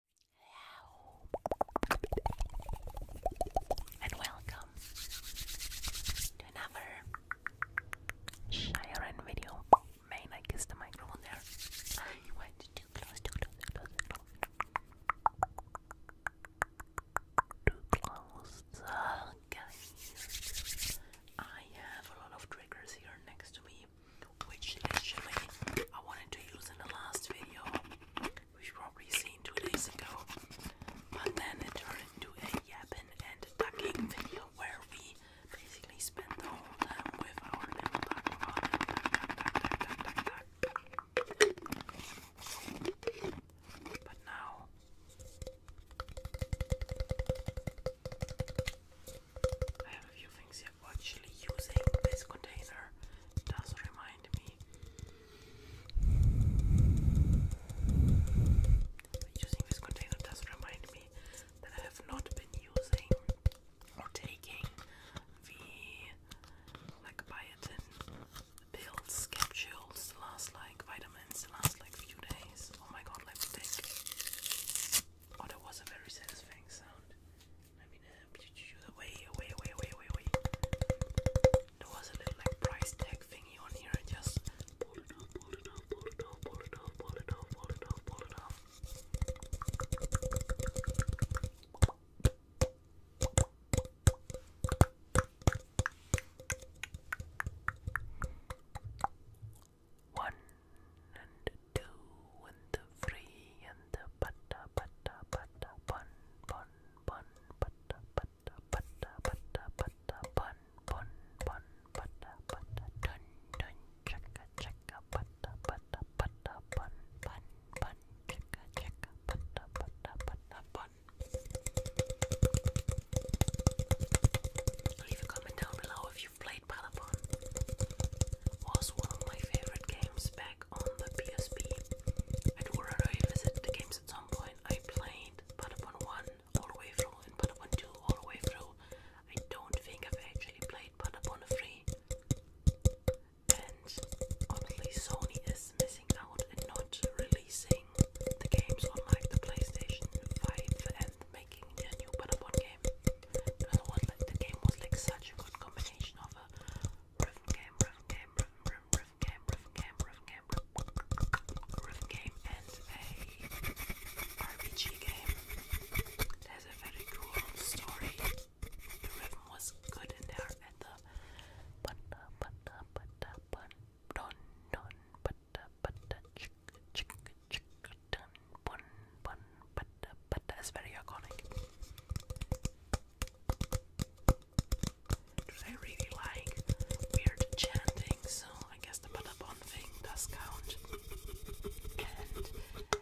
Hello. And welcome to another Shiren video. Main, I kissed the microphone there. You too close, too close, too close, too close. Too close. Uh, guys, I have a lot of triggers here next to me which actually I wanted to use in the last video, which you probably seen two days ago, but then it turned into a yapping and ducking video where we basically spent the whole time with our little duck But now I have a few things here actually using this container does remind me using this container does remind me that I have not been using or taking the like biotin pill schedules last like vitamins last like few days. Oh my god, let me think. Oh that was a very satisfying sound. Let me help you away, away, away, away, There was a little like price tag thingy on here. I just pull it off, pull it off, pull it off, pull it off, pull it off, pull it off, pull it off. One and two and the three and the butter, butter, butter, bun, bun, bun, butter, butter, butter, butter, butter, bun, bun, bun, butter, butter, dun, dun, chicka, chicka, butter, butter, butter, bun, bun, bun, chicka, chicka, butter, butter, butter, bun. Leave a comment down below if if you've played Palapon. Was one of my favorite games back on the PSP. I do want to revisit the games at some point. I played Palapon 1 all the way through and Palapon 2 all the way through. I don't think I've actually played Palapon 3. And honestly, Sony is missing out and not releasing the games on like the PlayStation 5 and making a new Palapon game the game was like such a good combination of a rhythm game, rhythm game, rhythm, rhythm, rhythm game, rhythm game, rhythm game, rhythm game, and a RPG game. There's a very cool story. The rhythm was good in there, and the but but but but but but but but but but but dun bun bun but but that's very iconic. Because I really like weird chanting, so I guess the Badabon thing does count. And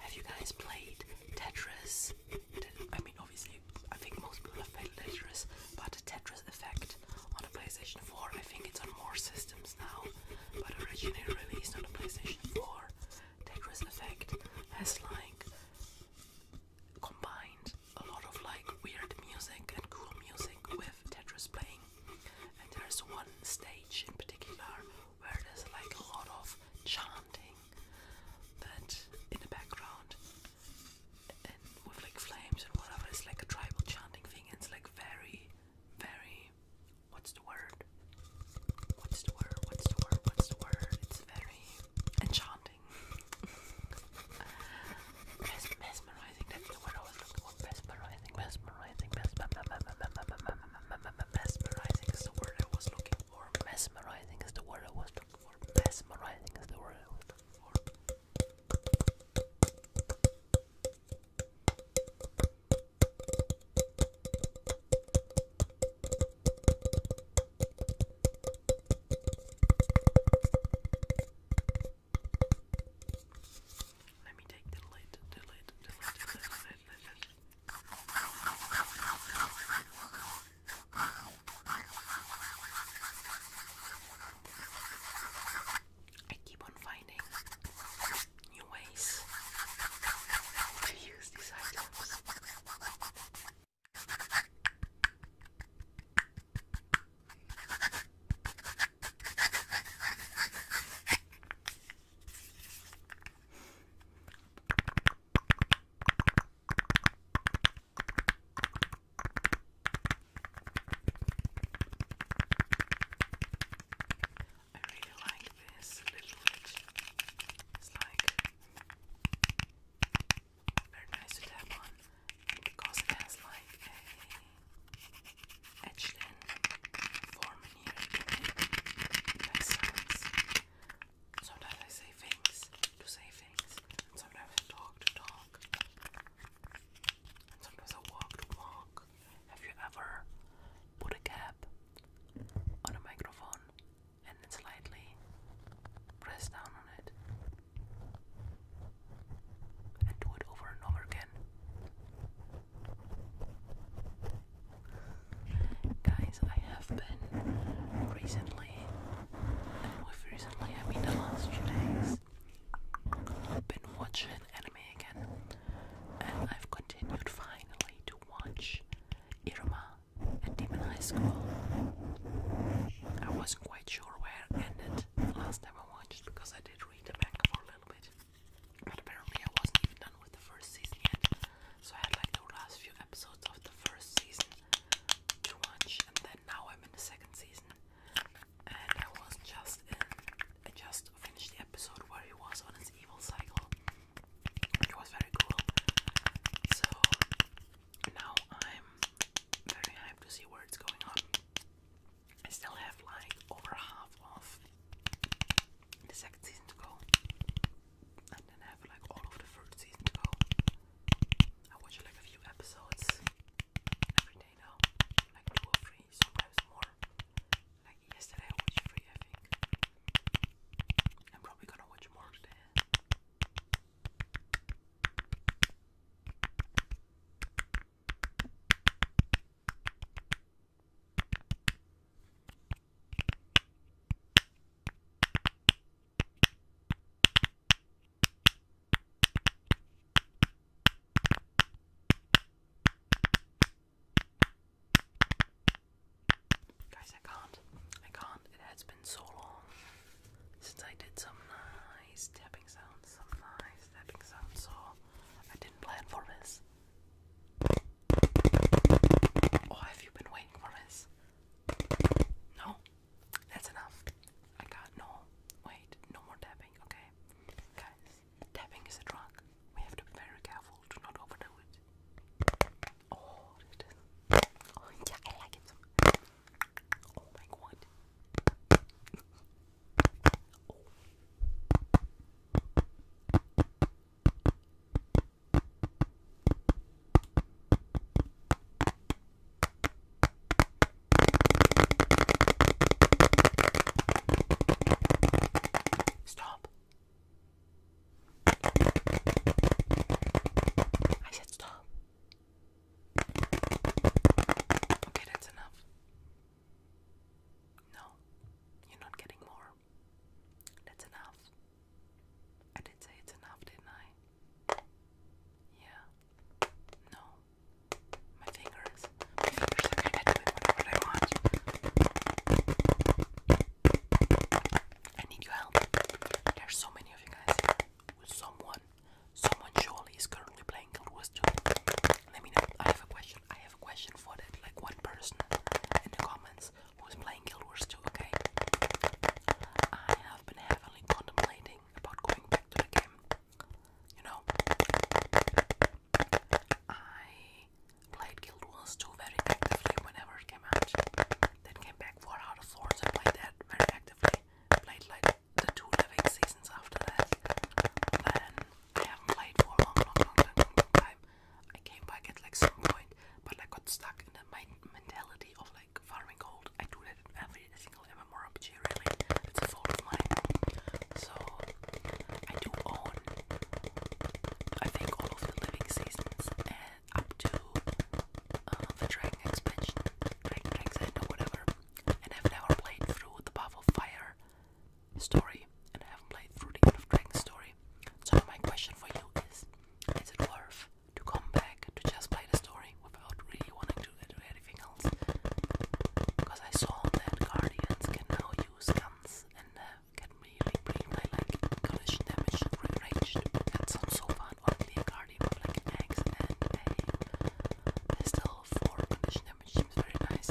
have you guys played Tetris? I mean, obviously, I think most people have played Tetris, but Tetris effect on the PlayStation 4, I think it's on more systems now, but originally released on the PlayStation 4. Tetris effect has like combined a lot of like weird music and cool music with Tetris playing. And there's one stage in particular where there's like a lot of chanting that in the background and with like flames and whatever. It's like a tribal chanting thing. And it's like very, very what's the word? What's the word? What's the word? What's the word? It's very enchanting. Mes mesmerizing, that's the word I was looking for. Mesmerizing, mesmerizing, mesmerizing. Mesmerizing is the word I was looking for. Mesmerizing is the word I was looking for. Mesmerizing is the word I was looking for. Let me take the lid, the lid, the lid, the lid, the lid, the lid. I keep on finding new ways to use these items. I really like this little witch. It's like very nice to tap on because it has like a etched in form in it. Sometimes I say things to say things, sometimes I talk to talk, sometimes I walk to walk. Have you ever put a cap on a microphone and then slightly press down on it and do it over and over again? Guys, I have been recently, and recently I mean the last few days, I've been watching anime again, and I've continued finally to watch Irma and Demon High School. I wasn't quite sure where it ended last time I watched because I did read the manga for a little bit, but apparently I wasn't even done with the first season yet, so I had like the last few episodes of the first season to watch, and then now I'm in the second season, and I was just in I just finished the episode where he was on his evil cycle, which was very cool. So now I'm very hyped to see where it's going on. I still have like over half of the second season to go, and then have like all of the third season to go. I watch like a few episodes every day now, like two or three, sometimes more. Yesterday I watched three, I think. I'm probably gonna watch more today. Guys, I can't. I can't. It has been so long since I did some nice tapping sounds. Some nice tapping sounds. So I didn't plan for this. Or oh, have you been waiting for this? No? That's enough. I got no. Wait, no more tapping. Okay. Guys, Tapping is a drug. We have to be very careful to not overdo it. Oh, it is. Oh, yeah, I like it. Oh my god. Stop. I said stop. Okay, that's enough. No, you're not getting more. That's enough. I did say it's enough, didn't I? Yeah. No. My fingers. My fingers are kind of doing whatever I want. I need your help. There's so many of you guys someone. Someone surely is currently playing Guild Wars 2. Let me know. I have a question. I have a question for that. Like one person in the comments who is playing Guild Wars 2, okay? I have been heavily contemplating about going back to the game. You know, I played Guild Wars 2 very actively whenever it came out. Then came back 4 out of 4, so played that very actively. Played like the two living seasons after that. Then I haven't played for a long, long, long, time. I came back at like some point, but I got stuck in the mentality of like farming gold. I do that every single MMORPG really. It's a so I do own I think all of the living seasons and up to uh, the Dragon expansion, Dragon Exit or whatever. And I've never played through the Path Fire story and I haven't played through the Dragon story. So my question for you is is it worth to come back to just play the story without really wanting to do anything else? Because I saw that Guardians can now loose guns and uh, can really bring my like collision damage raged. That sounds so fun. Or clear guardian with like an axe and a pistol for collision damage seems very nice.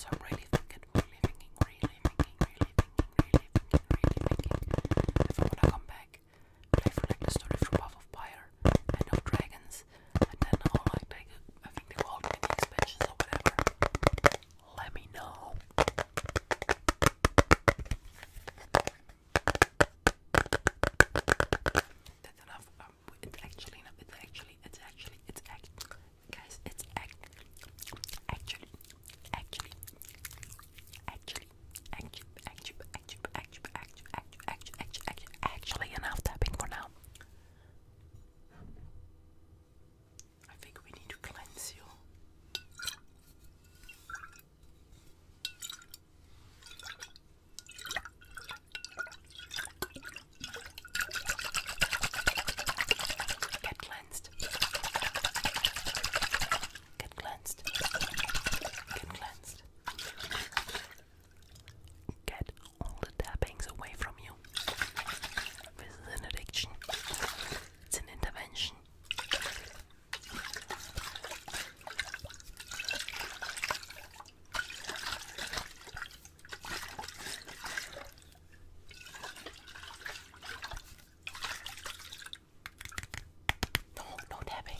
So I'm really thinking, really thinking, really thinking, really thinking, really thinking, really thinking. If I'm gonna come back, play for like the story from Puff of Fire. I know dragons and then I'll like make I think they called me the expansions or whatever. Let me know. That's enough. it's actually enough. It's actually. It's actually. It's actually. Guys, it's actually, actually, actually, actually, actually, actually, actually, actually, actually, actually, actually, actually enough tapping for now. I think we need to cleanse you. Get cleansed. Get cleansed. Get cleansed. Get all the tappings away from you. This is an addiction, it's an intervention. No, no tapping.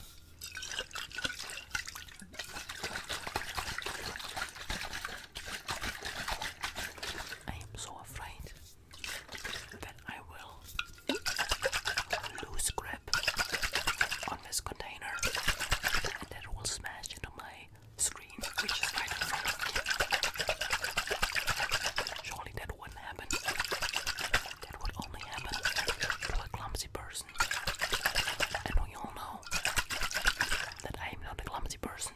I am so afraid that I will lose grip on this container and it will smash into my screen, which is right in Surely that wouldn't happen. That would only happen to a clumsy person and we all know that I am not a clumsy person.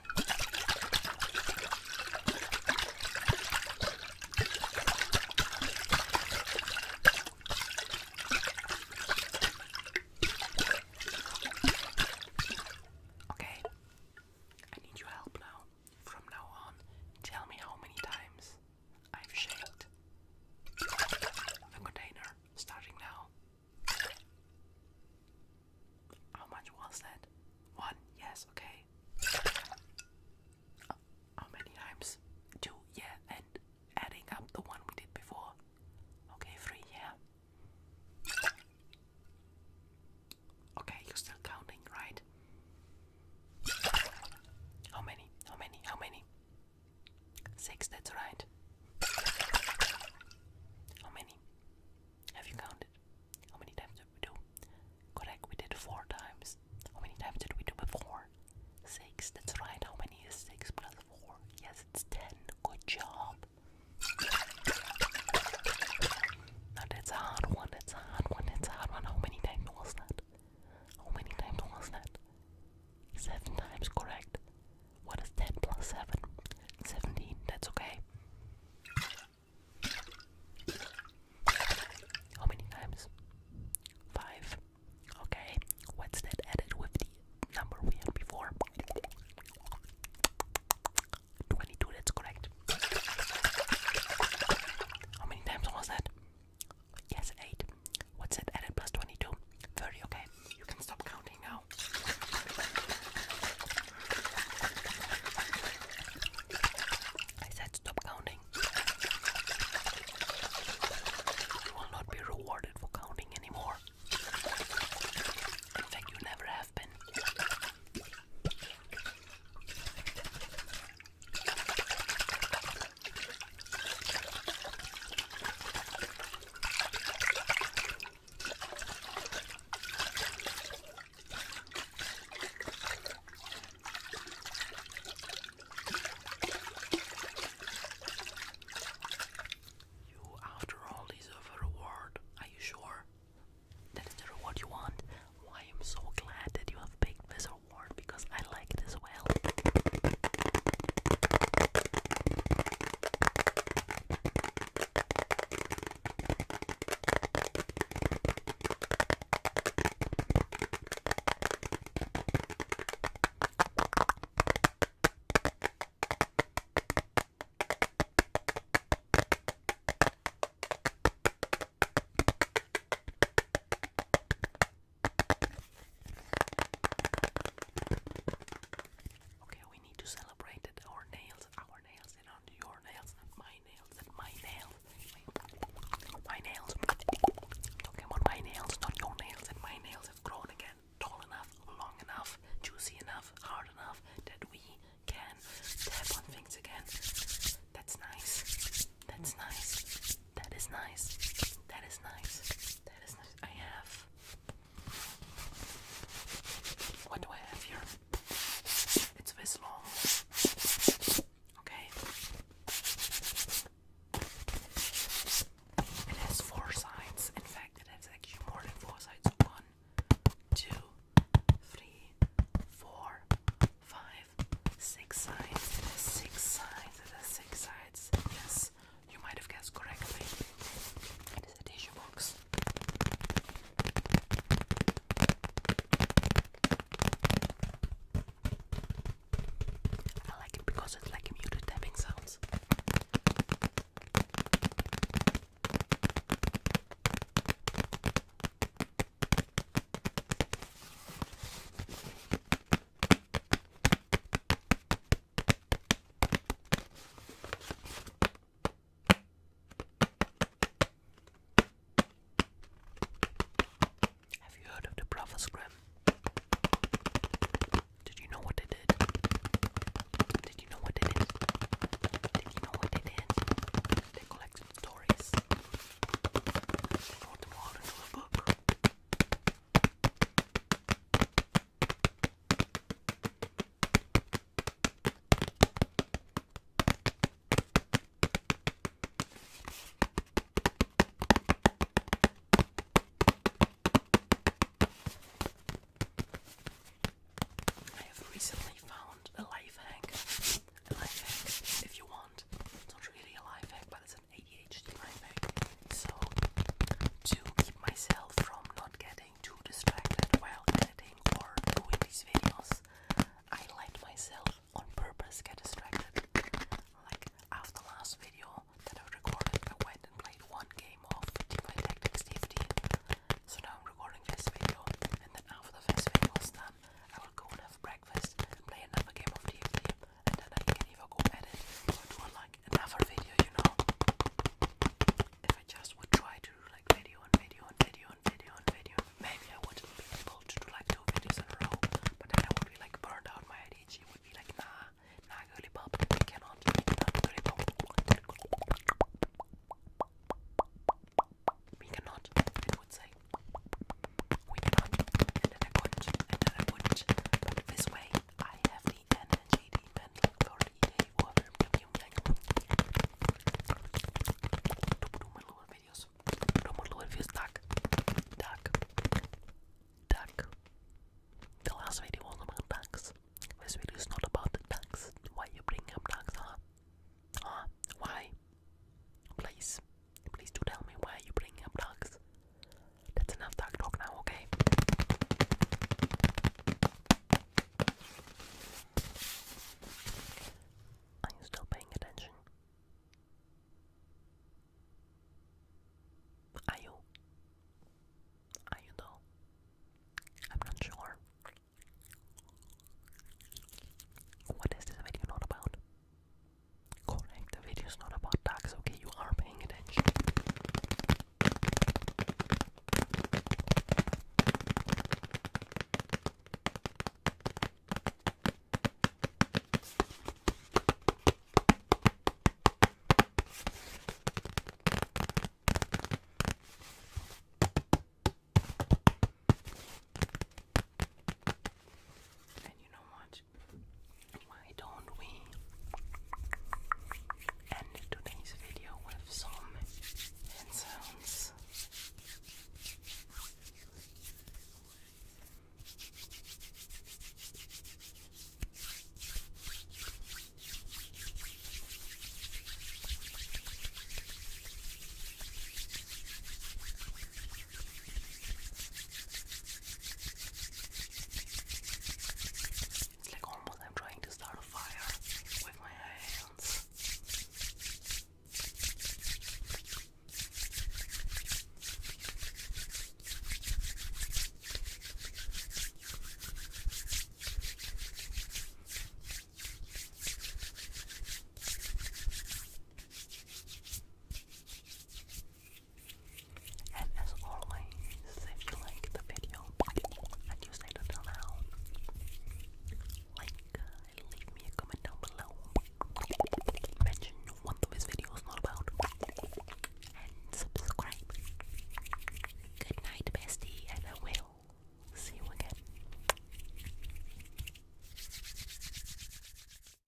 Okay, I need your help now. From now on, tell me how many times I've shaked the container starting now. How much was that? One, yes, okay. Uh, how many times? Two, yeah, and adding up the one we did before. Okay, three, yeah. Okay, you're still counting, right? How many? How many? How many? Six, that's right. How many? Have you counted? How many times did we do? Correct, we did four times. How many times did we do before? Six, that's right. How many is six plus four? Yes, it's ten. Good job. Now that's a hard one, that's a hard one, that's a hard one. How many times was that? How many times was that? Seven times correct. What is 10 plus 7? 17, that's okay. How many times? 5. Okay, what's that added with the number we had before? 22, that's correct. How many times was that? Yes, 8. What's that added plus 22? 30, okay? You can stop counting now. I said stop counting. You will not be rewarded for counting anymore. In fact, you never have been. You, after all, deserve a reward. Are you sure? That is the reward you want. I am so glad that you have picked this reward because I like this as well. Okay, we need to celebrate that our nails, our nails, and not your nails, not my nails, not my nails, my nails. I'm my nails, not your nails, and my nails have grown again, tall enough, long enough, juicy enough, hard enough that we can tap on things again. That's nice. That's nice. That is nice. That is nice. That is nice. I have what do I have here? It's this long. Okay. It has four sides. In fact, it has actually more than four sides. One, two, three, four, five, six sides. It has six sides. It has six sides. Yes. You might have guessed correctly. It is a tissue box. I like it because it's like muted tapping sounds. Have you heard of the Brothers Grimm? Did you know what they did? Did you know what they did? Did you know what they did? They collected stories. They wrote them book. I have recently found a life hack. A life hack, if you want. It's not really a life hack, but it's ADHD, I So, to keep myself from not getting too distracted while editing or doing these videos, I let myself on purpose get distracted. Like after the last video that I recorded, I went and played one game of Teamfight Tactics TFT. So now I'm recording this video, and then after the first video is done, I will go and have breakfast and play another game of TFT and then I can even go edit or do like another video, you know. If I just would try to do like video and video and video and video and video, maybe I would be able to do like two videos in a row, but then I would be like burned out. My ADHD would be like, nah, nah, girly pop, I cannot, We cannot, it would say. We cannot, and then I could and then I wouldn't. But way, I have the energy demanding 30 day order premium Do more little videos. Do more little videos. Duck. Duck. Duck. The last video was about ducks. This video is not about the ducks. Why you bring up ducks, huh? Huh? Why? Please. Please do tell me why are you bringing up dogs. That's enough dog talk now, okay? Are you still paying attention? Are you? Are you though? I'm not sure. What is this video not about? Correct, the is not about tax, okay? You are paying attention. And you know what? it. Why don't we end today's video with some hand it's like almost I'm trying to start a fire with my hands. And as always, if you like the video and you said it aloud, like uh, leave me a comment down below. Mention what this video is not about. And subscribe. Good night, bestie, and I will see you again.